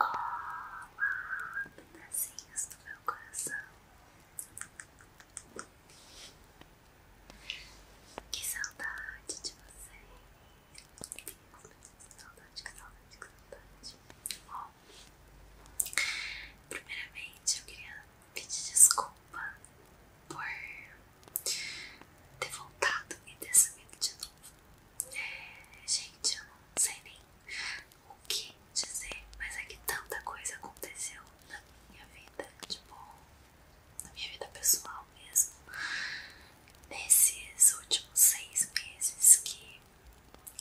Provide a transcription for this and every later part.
Olá, pedacinhos do meu coração Que saudade de vocês Que saudade, que saudade, que saudade Bom, primeiramente eu queria pedir desculpa Por ter voltado e ter sumido de novo é, gente, eu não sei nem o que dizer, mas é que tanta coisa aconteceu na minha vida, tipo, na minha vida pessoal mesmo, nesses últimos seis meses que,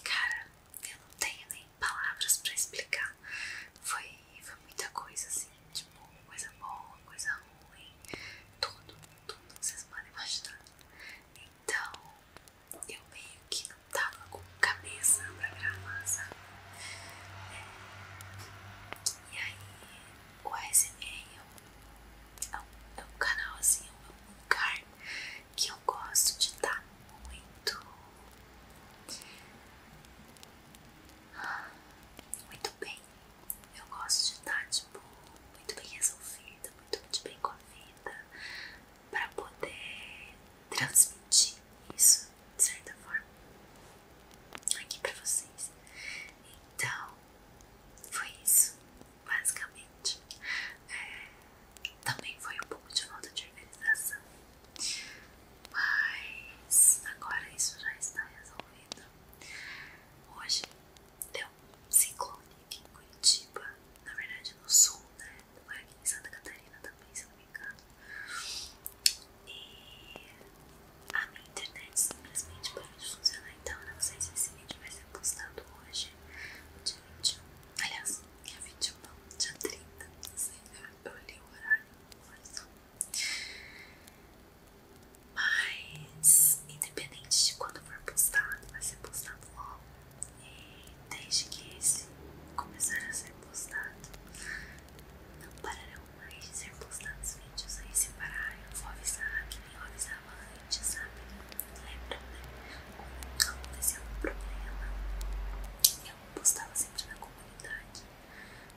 cara, eu não tenho nem palavras pra explicar. Foi, foi muita coisa assim, tipo, coisa boa, coisa ruim, tudo, tudo que vocês podem imaginar. Então, eu meio que não tava com cabeça pra gravar, sabe? É. E aí, o ASMR é um, é é um canal assim, é um lugar que eu gosto de estar tá muito. Muito bem, eu gosto de estar, tá, tipo, muito bem resolvida, muito, muito bem vida para poder transmitir isso de certa forma aqui para vocês. Então foi isso, basicamente. É, também foi um pouco de falta de organização, mas agora isso já está resolvido. Hoje deu um ciclone em Curitiba, na verdade no sul, né? Foi aqui em Santa Catarina também, se eu não me engano. E a minha internet simplesmente parou de funcionar, então não sei se esse vídeo vai ser postado hoje, dia 21. Aliás, dia 21 não, dia 30, não sei, eu olhei o horário, mas... Mas, independente de quando for postado, vai ser postado logo. E desde que esse começar a ser postado, não pararão mais de ser postados vídeos. Aí se parar, eu vou avisar que nem eu avisava antes, sabe? Lembra, né? Quando aconteceu um problema, eu postava sempre na comunidade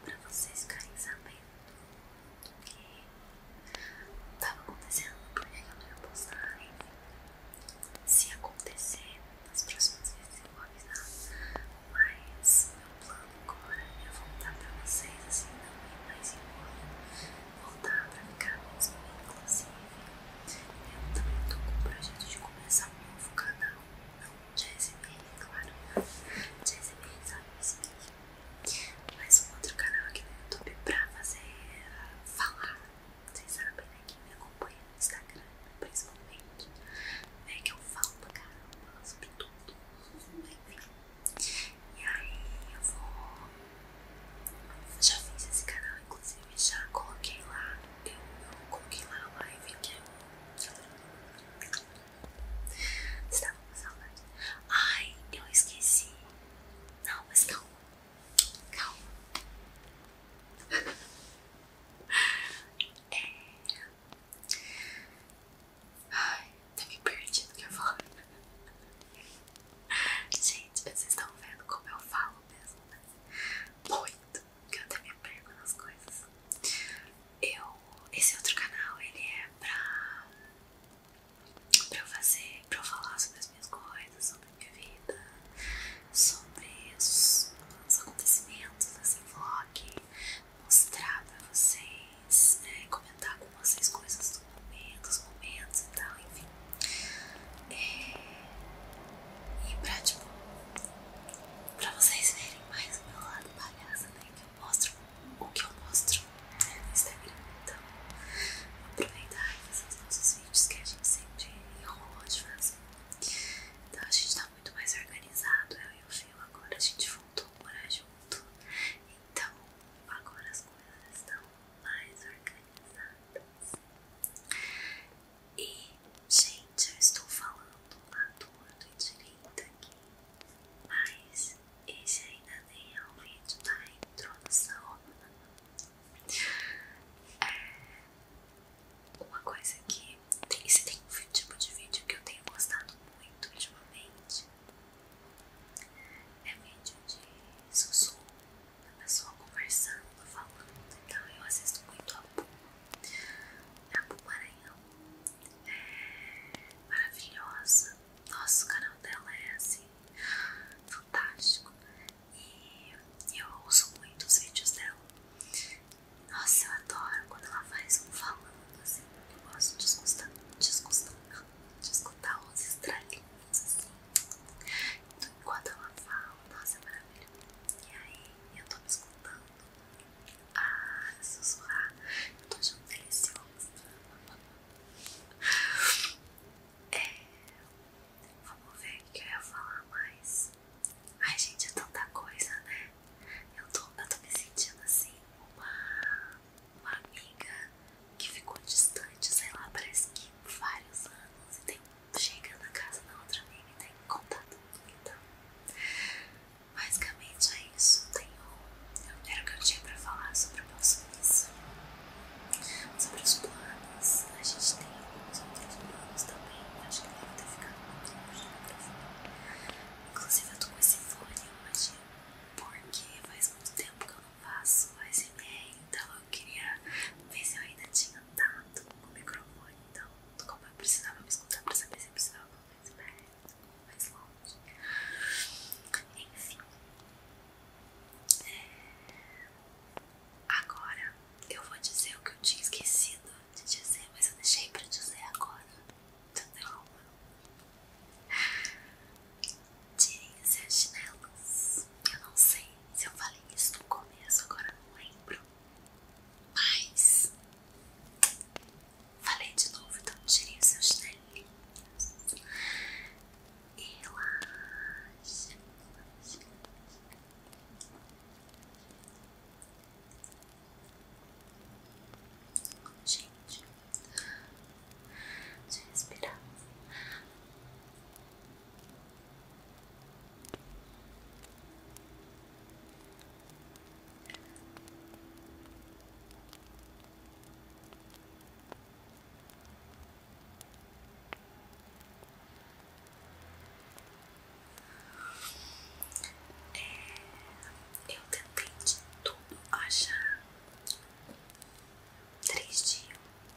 pra vocês ficarem sabendo que tá tava acontecendo, por que eu não ia postar, enfim. Se acontecer, nas próximas vezes eu vou avisar. Mas meu plano agora é voltar pra vocês, assim, não ir mais embora. Voltar pra ficar mesmo, inclusive. Assim. Eu também tô com o projeto de começar um novo canal. Não, já recebi, claro. Já recebi, sabe? mais um outro canal aqui no YouTube pra fazer uh, falar. Vocês sabem, né? Quem me acompanha no Instagram, principalmente, né? Que eu falo pra caramba sobre tudo. E aí eu vou. Já fiz esse canal, inclusive, já coloquei lá. Eu, coloquei lá a live que eu. Estava com saudade. Ai, eu esqueci não, mas calma. Calma. É... Ai, até tá me perdi do que eu falo. Gente, vocês estão vendo como eu falo mesmo, né? Muito. Que eu até me perco nas coisas. Eu... Esse outro canal, ele é pra pra eu fazer, pra eu falar sobre as minhas coisas, sobre a minha vida, sobre os, acontecimentos desse vlog, mostrar pra vocês, né, comentar com vocês coisas do momento, os momentos e tal, enfim. É, e pra, tipo, pra vocês verem mais o meu lado palhaça, né, que eu mostro o que eu mostro né, no Instagram. Então, aproveitar e os nossos vídeos que a gente sempre enrolou de fazer. Então, a gente tá muito mais organizado. Eu e o Fio agora a gente voltou a morar junto. Então, agora as coisas estão mais organizadas. E, gente, eu estou falando à torta e direita aqui, mas este ainda tem um vídeo da introdução. É, uma coisa que tem, tem um tipo de vídeo que eu tenho gostado muito ultimamente é vídeo de sussurro, a pessoa conversando, falando, então eu assisto muito a Puma, a Puma Maranhão, é maravilhosa, nossa, o canal dela é assim, fantástico. E eu ouço muito os vídeos dela. Nossa, eu adoro quando ela faz um falando assim. Eu gosto de escutar, os escutar, estralinhos assim. Então, enquanto ela fala, nossa, é maravilha. E aí eu tô me escutando ah, sussurrar. Eu tô achando delicioso. É. vamos ver o que eu ia falar mais. Ai, gente, é tanta coisa, né? Eu tô, me sentindo assim, uma, uma amiga que ficou distante, sei lá, parece que vários anos e tem, chega na casa da outra amiga e tem contato. Então, basicamente é isso. Tenho então, era o que eu tinha pra falar sobre o nosso início. Sobre os planos, a gente tem alguns outros planos também. Acho que deve ter ficado muito longe do microfone. Inclusive, eu tô com esse fone hoje, porque faz muito tempo que eu não faço ASMR, então eu queria ver se eu ainda tinha com o microfone. Então, como eu precisava me escutar pra saber se eu precisava fazer mais, mais longe. Enfim. Agora eu vou dizer o que eu tinha esquecido de dizer, mas eu deixei pra dizer agora. Entendeu? Tirem seus chinelos. Eu não sei se eu falei isso no começo, agora não lembro. Mas falei de novo, então tirem seus chinelinhos relaxa, relaxa. Gente, deixa eu respirar. Relaxa, relaxa, relaxa, é, eu tentei tudo achar três dias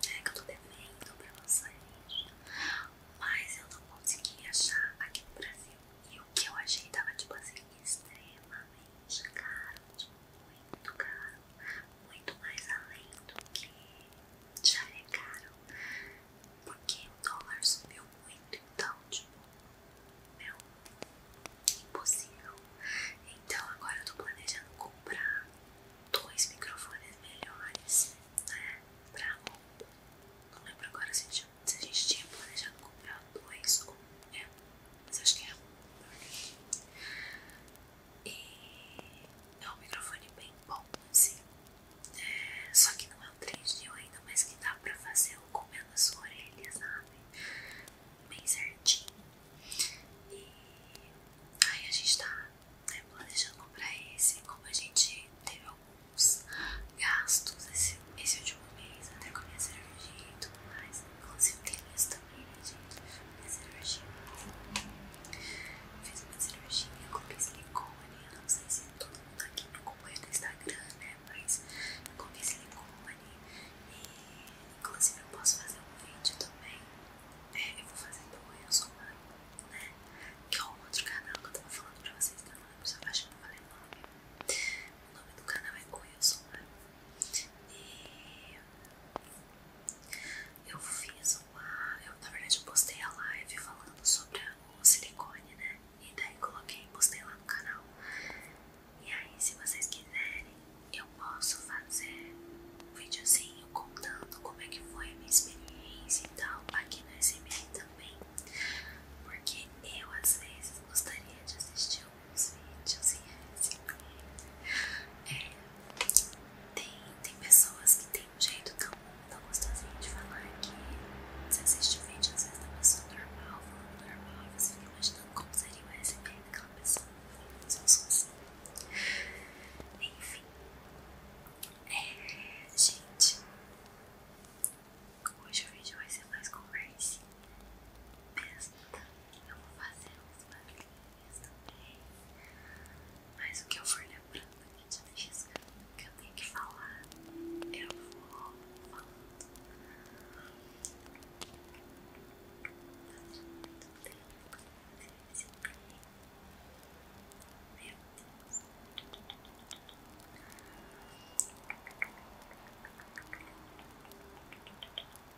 né, que eu tô devendo pra vocês, mas eu não consegui achar aqui no Brasil. E o que eu achei tava tipo assim, extremamente caro. Tipo, muito caro, muito mais além do que já é caro, porque o dólar subiu muito, então, tipo, meu, impossível. Então, agora eu tô planejando comprar dois microfones melhores, né, pra roupa. Não lembro agora se a gente, tinha planejado comprar dois ou, é, mas acho que é a E é um microfone bem bom, sim. É, só que não é um 3D ainda, mas que dá pra fazer o comendo a sua orelha, sabe? Bem certinho. E aí a gente tá né, planejando comprar esse. Como a gente teve alguns gastos esse, esse último mês, até com a minha cervejinha e tudo mais. Né? Inclusive tem lista sobrevivente na cirurgia. Fiz uma cirurgia com silicone. Eu não sei se todo mundo aqui me acompanha no Instagram, né? Mas eu coloquei silicone. E inclusive eu posso fazer um vídeo também. eu vou fazer do Eu Sou Mãe, né? Que é o outro canal que eu tava falando pra vocês que eu não lembro se eu acho que eu falei nome. O nome do canal é O Eu Sou Mãe. E eu fiz uma. Eu, na verdade, eu postei a live falando sobre o silicone, né? E daí coloquei, postei lá no canal. E aí, se vocês quiserem, eu posso fazer um videozinho contando como é que foi a minha experiência e tal aqui no SMR também. Porque eu às vezes gostaria de assistir alguns vídeos e é assim. É, tem, tem pessoas que tem um jeito tão, tão gostosinho de falar que você assiste o vídeo às vezes da pessoa normal, falando normal, e você fica imaginando como seria o USB daquela pessoa. Se eu sou assim. Enfim. É, gente. Hoje o vídeo vai ser mais conversinha testa. Eu vou fazer uns barulhinhos também. Mas o que eu for lembrando aqui de deixando que eu tenho que falar, eu vou falando. Faz muito tempo que eu fiz Meu Deus. Meu Deus.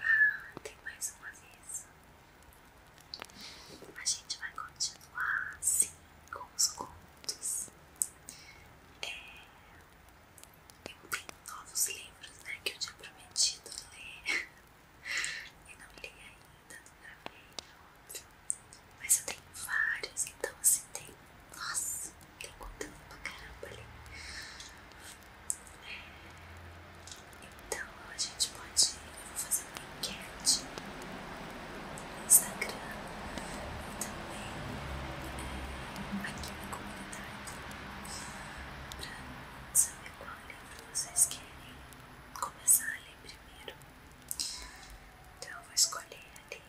Ah, tem mais uma vez. A gente vai continuar sim com os contos. É, eu tenho novos livros né, que eu tinha prometido ler. Eu não li ainda, não gravei, óbvio. Mas eu tenho vários, então assim tem. Nossa, tem contando pra caramba ali. então a gente pode. Eu vou fazer uma enquete no Instagram e também é, aqui na comunidade pra saber qual livro vocês querem começar ali primeiro. Então eu vou escolher ali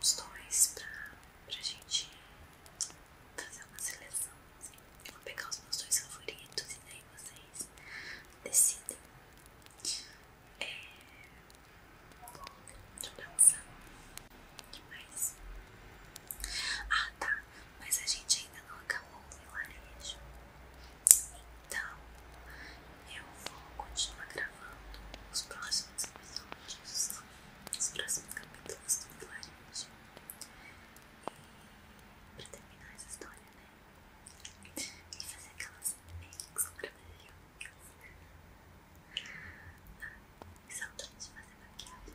uns dois pra, pra gente fazer uma seleção. Assim. vou pegar os meus dois favoritos e daí vocês decidem. É, deixa eu pensar. O que mais? Ah tá, mas a gente ainda não acabou o vilarejo. Então, eu vou continuar gravando os próximos episódios, os próximos capítulos do vilarejo. E pra terminar essa história, né? E fazer aquelas makes maravilhosas. Ah, que saudade de fazer maquiagem.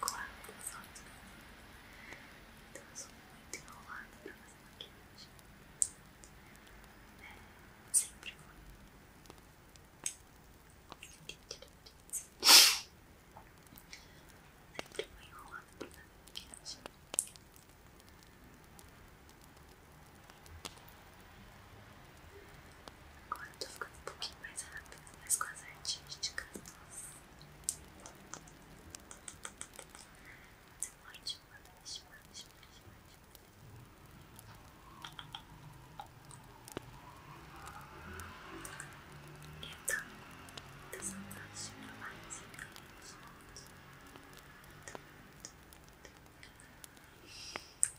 colado eu sou muito enrolada pra fazer maquiagem Sempre foi Sempre foi enrolada pra fazer maquiagem Agora eu tô ficando um pouquinho mais rápido, mas com as artísticas, nossa. Mas é ótimo, ótimo, ótimo, ótimo, ótimo. Então, tá saudade de gravar esse vídeo juntos. Muito, muito, muito.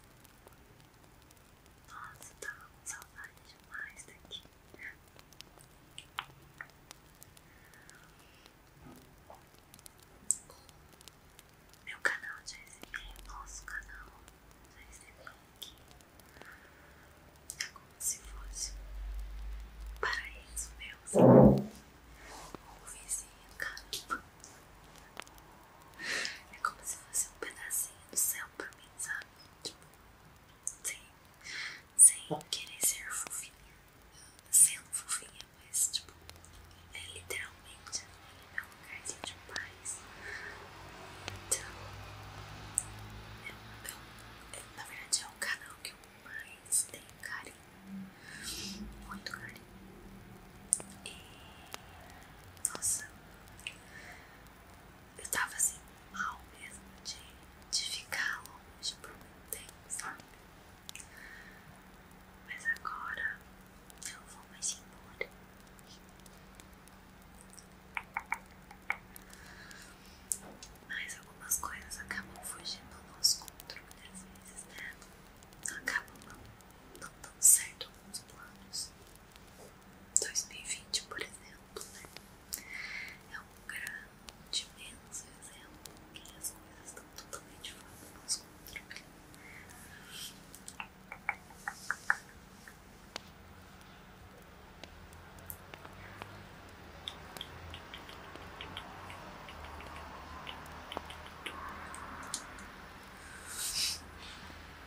Nossa, eu tá tava com saudade demais daqui. Meu canal já recebi, nosso canal já recebi aqui. É como se fosse um paraíso meu, sabe? O vizinho, caramba. É como se fosse um pedacinho do céu pra mim, sabe? Tipo, sem, querer ser fofinha, sendo fofinha, mas tipo, é literalmente é meu lugarzinho de paz. Então, é é é, na verdade é o canal que eu mais tenho carinho, muito carinho. E nossa, eu tava assim mal mesmo de, ficar longe por muito tempo, sabe? Mas agora eu vou mais embora. Mas algumas coisas acabam fugindo do nosso controle às vezes, né? Acabam não, não dando certo alguns planos. 2020, por exemplo, né? É um grande, imenso exemplo que as coisas estão totalmente fora do nosso controle.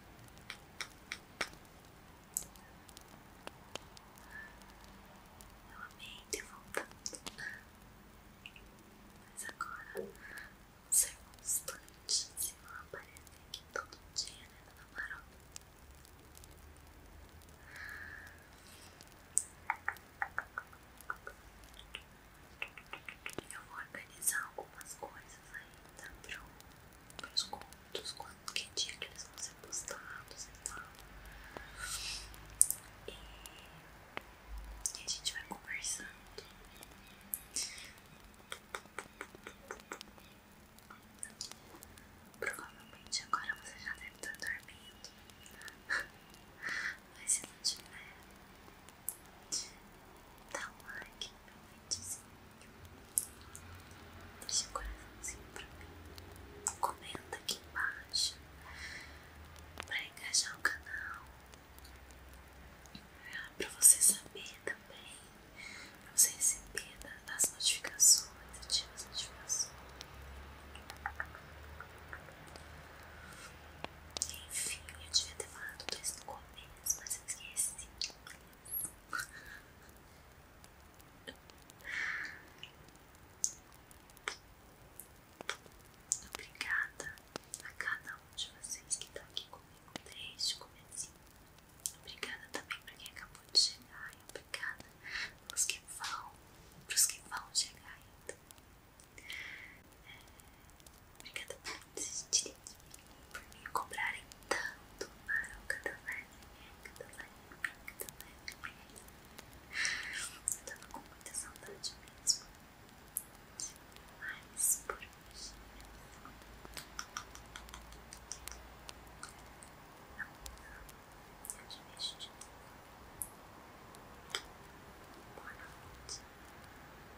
Eu amei ter voltado, mas agora um ser constante se não aparecer aqui todo dia, né, Dona Marol? Eu vou organizar algumas coisas ainda para os contos, quando, que dia que eles vão ser postados e tal. E, e a gente vai conversando. Provavelmente agora você já deve estar dormindo. Mas se não tiver, Dá tá, um like no likezinho. Deixa o coraçãozinho pra mim. Comenta aqui embaixo pra engajar o canal. Pra você saber também. Pra você receber as notificações. Ativa as notificações. Enfim, eu devia ter falado tudo isso no começo, né? quase esqueci. Obrigada a cada um de vocês que está aqui comigo desde o começo. Obrigada também para quem acabou de chegar. obrigada para os que vão, para os que vão chegar ainda. Obrigada por insistirem por me cobrarem tanto para o Catalan. Catalan, Catalan. Eu tava com muita saudade mesmo. Mas por hoje. Eu te vejo de novo. Boa noite.